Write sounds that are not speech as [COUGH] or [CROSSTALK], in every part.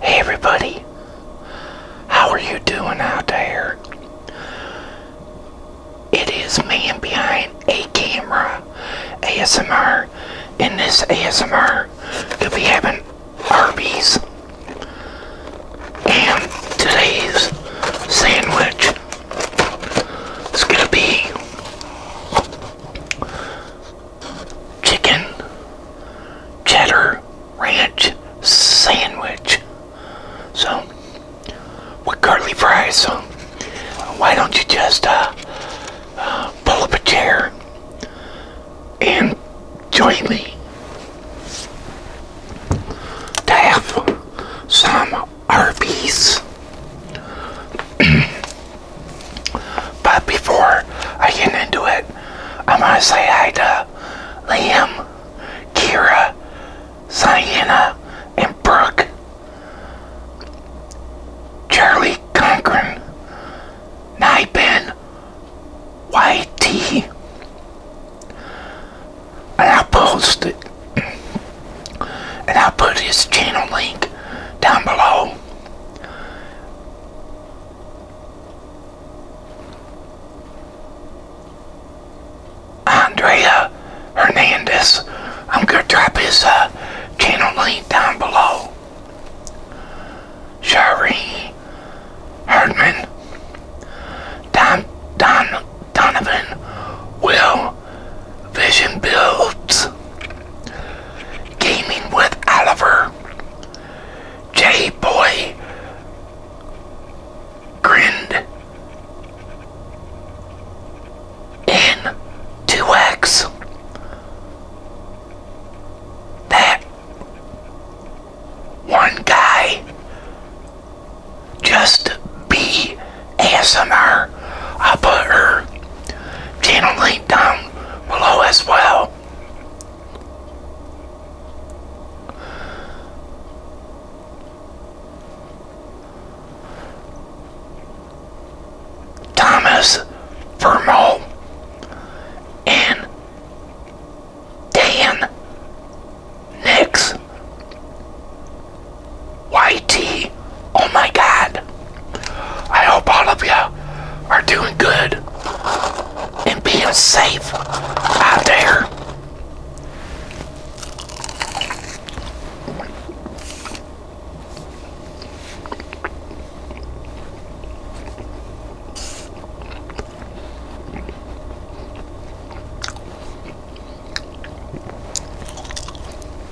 Hey everybody, how are you doing out there? It is man behind a camera ASMR. In this ASMR, you'll be having Arby's and today's sandwich is gonna be chicken cheddar ranch sandwich. So, with curly fries. So, why don't you just uh, uh pull up a chair and join me to have some Arby's. [CLEARS THROAT] But before I get into it, I'm going to say hi to Liam, Kira, Sienna, and Brooke. Charlie Conkran, Nibin, YT. And I'll post it. And I'll put his channel link down below. Andrea Hernandez. I'm going to drop his uh, channel link down below. Shari Herdman. Don, Donovan Will Vision Builds. Gaming with Oliver, J Boy Grind, and 2X. That one guy just be ASMR i put her channel link down below as well. Thomas Vermo and Dan Nix YT Oh my God. I hope all of you are doing good and being safe out there.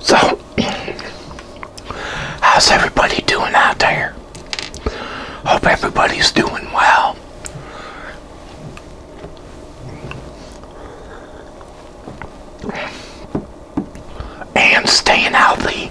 So, how's everybody doing out there? Hope everybody's doing well. And staying healthy.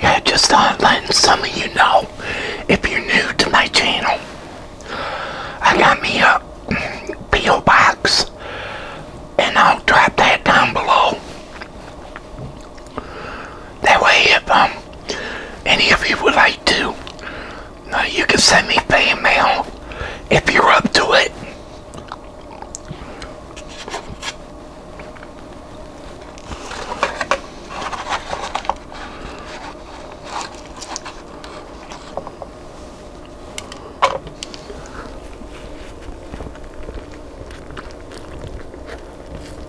Yeah, just on letting some of you know if you're new to my channel. I got me a P.O. box and I'll drop that down below. That way if um any of you would like to now you can send me fan mail if you're up to it.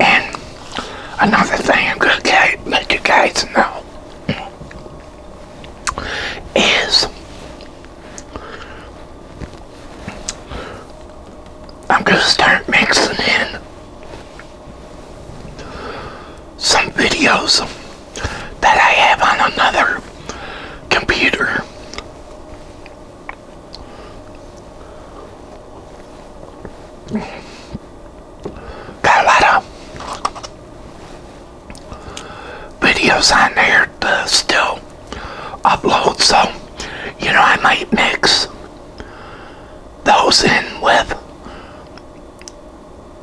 And another thing I'm going to let you guys know is I'm going to start mixing in some videos that I have on another computer. Got a lot of videos on there to still upload, so you know I might mix those in with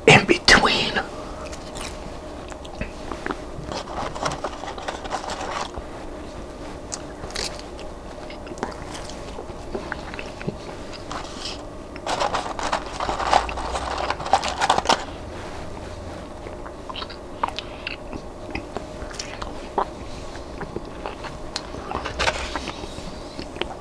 in between.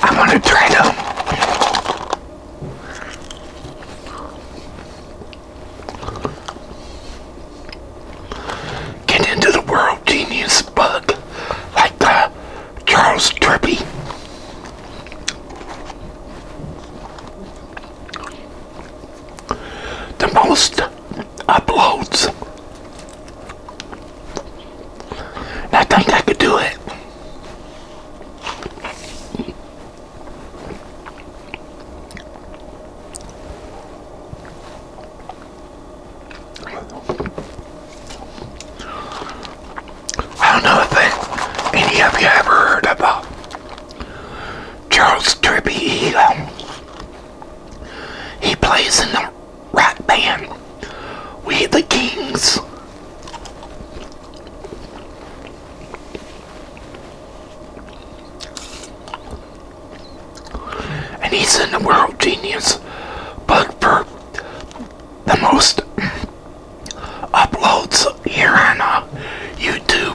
I want to try to Get into the world genius bug like uh, Charles Turpie. The most uploads. I think I could do it. I do any of you ever heard about Charles Trippy? He plays in the rock band We the Kings. And he's in the world genius but for the most uploads here on uh, YouTube.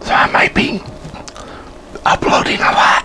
So I might be uploading a lot.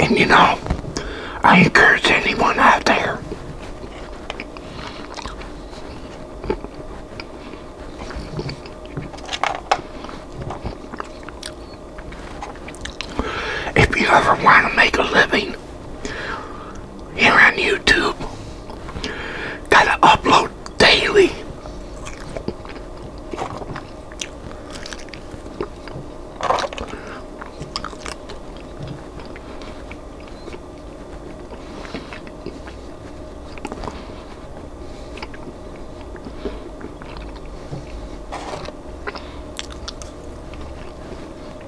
And you know, I encourage anyone out there if you ever want to make a living here on YouTube. Gotta upload daily.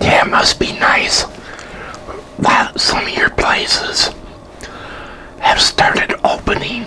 Yeah, it must be nice that some of your places have started opening.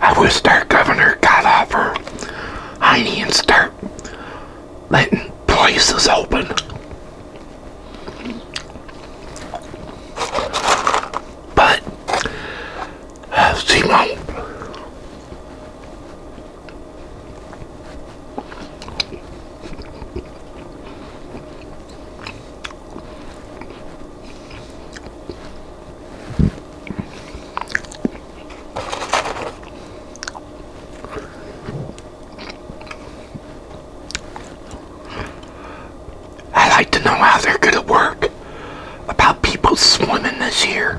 I wish our governor got off her hiney and start letting places open. But uh, Simone I like to know how they're going to work about people swimming this year.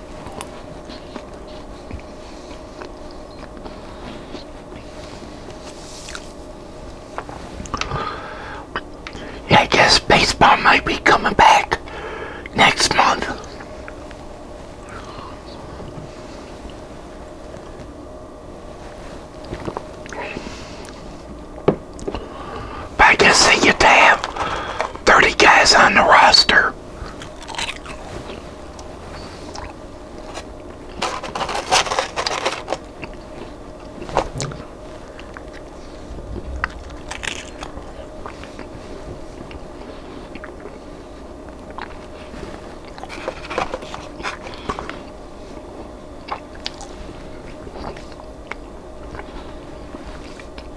Yeah, I guess baseball might be coming back next month. But I guess they get have 30 guys on the roster.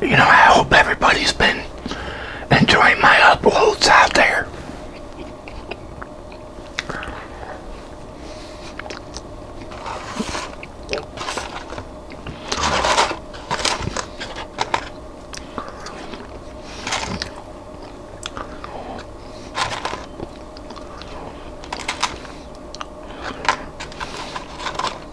you know, I hope everybody's been enjoying my uploads out there.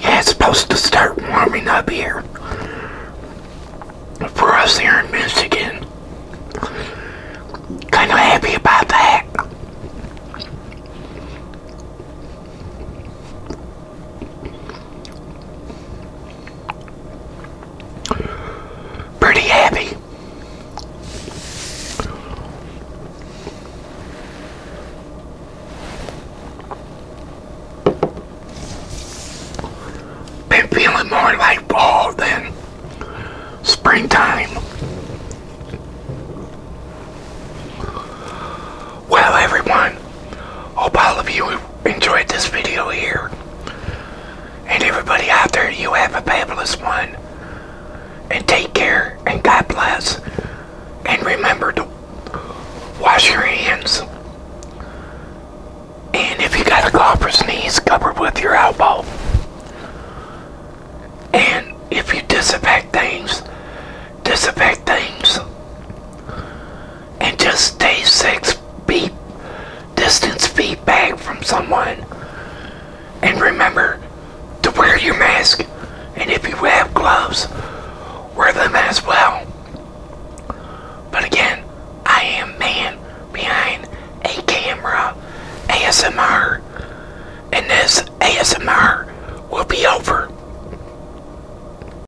Yeah, it's supposed to start warming up here for us here in Michigan. Kind of happy about that. Pretty happy. Been feeling more like fall than springtime. Well, everyone, Hope all of you enjoyed this video here. And everybody out there, you have a fabulous one. And take care, and God bless. And remember to wash your hands. And if you got a cough or sneeze, cover with your elbow. And if you disinfect things, disinfect things and just stay six feet distance feet back from someone. And remember to wear your mask. And if you have gloves, wear them as well. But again, I am man behind a camera ASMR. And this ASMR will be over.